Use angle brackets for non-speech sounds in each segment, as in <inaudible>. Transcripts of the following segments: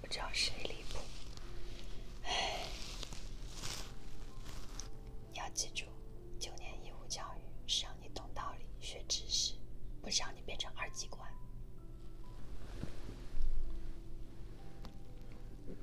不知道谁离谱，哎，你要记住，九年义务教育是让你懂道理、学知识，不是让你变成二极管。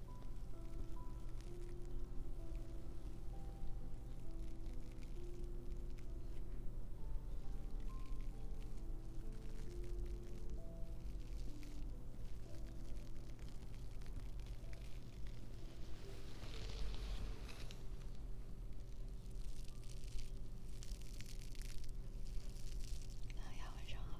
大家晚上好。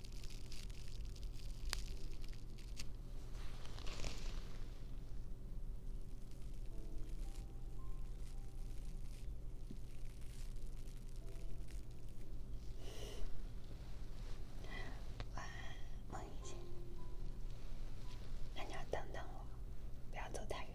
晚，梦一姐，那你要等等我，不要走太远。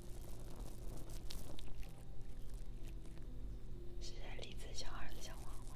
是些栗子、小儿子、小黄瓜。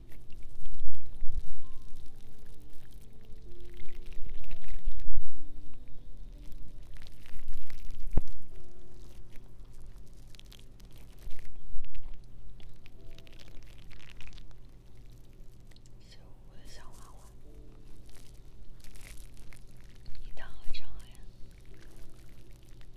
小乌龟小娃娃，你躺好一躺好呀。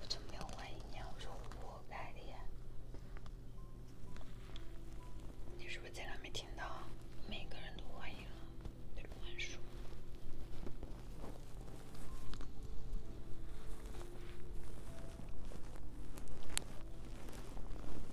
我都没有怀疑你，我说我活该的。你是不是在那没听到？每个人都怀疑了，别乱说。<laughs>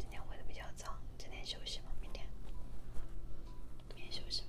今天回的比较早，今天休息吗？明天，明天休息吗？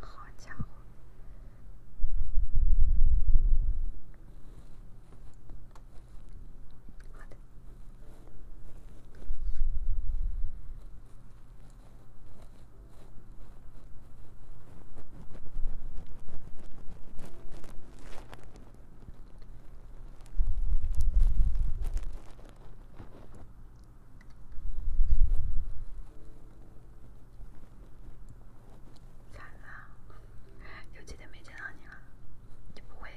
好家伙！的！惨了，几天没见到你了，就不会。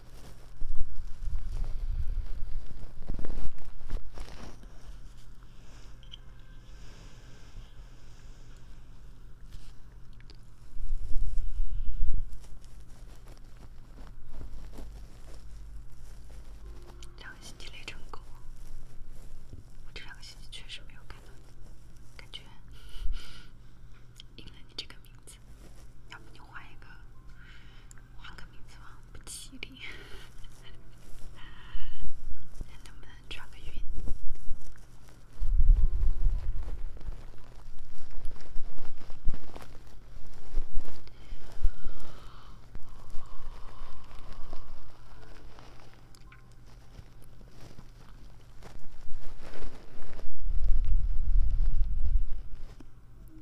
两个星期累成狗，我这两个星期确实没有看到你，感觉应了你这个名字。要不你换一个，换个名字吧，不吉利。看能不能转个运。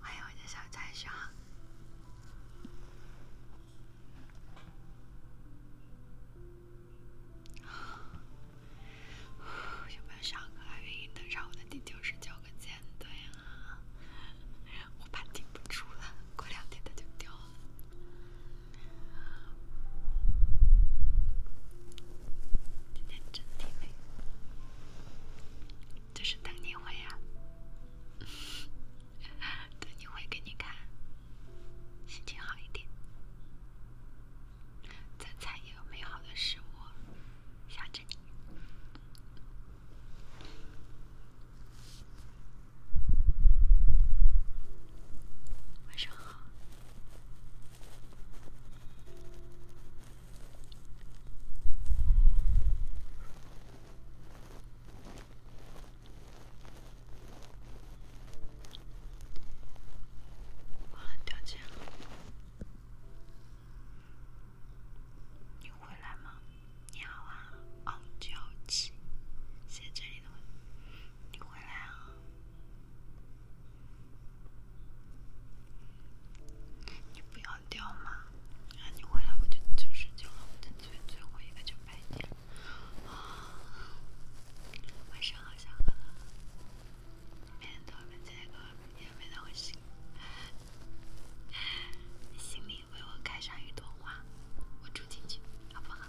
欢迎我的小崽熊！有没有想过马云登上我的第九十九个舰队啊？我怕顶不住了，过两天他就掉了。今天真挺美，就是 <laughs> 等你回啊，等你回给你看，心情好一点，再采一点美好的事物，想着你。晚上好。忘了掉钱了。你回来吗？你好啊，傲娇七，谢谢你的问候。你回来啊！你不要掉嘛！啊，你回来我就就是救了我的最最后一个救命点。晚上好，小哥哥，天都我们唱歌，每天都我心心里为我开上一朵花，我住进去好不好？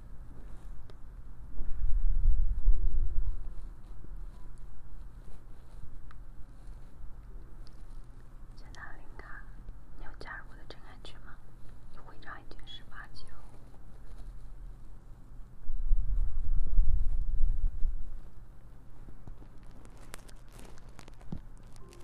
谢娜琳卡，你有加入我的真爱群吗？徽章已经十八级了。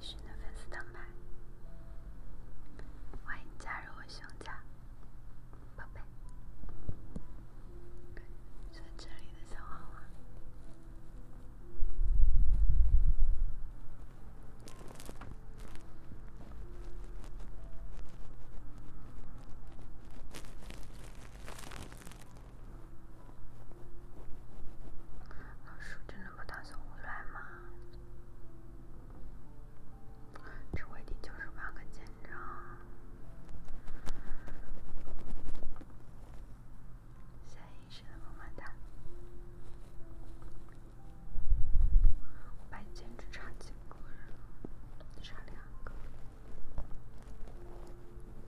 是你的粉丝团吗？欢迎加入我熊家，宝贝。是这里的小花花。老叔真的不打算回来吗？这月底就是半个建章，现役十个完蛋，白建只差几个人，只差两个。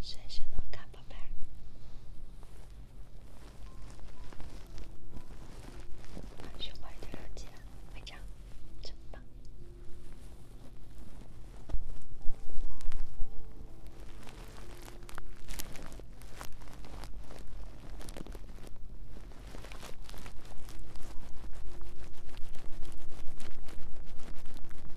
睡醒了，看宝贝。把胸牌丢掉，会长，真棒。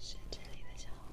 是这里的小伙。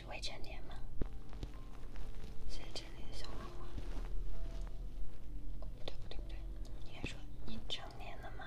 是未成年吗？谢谢陈小花花。对不对不对，你还说你成年了吗？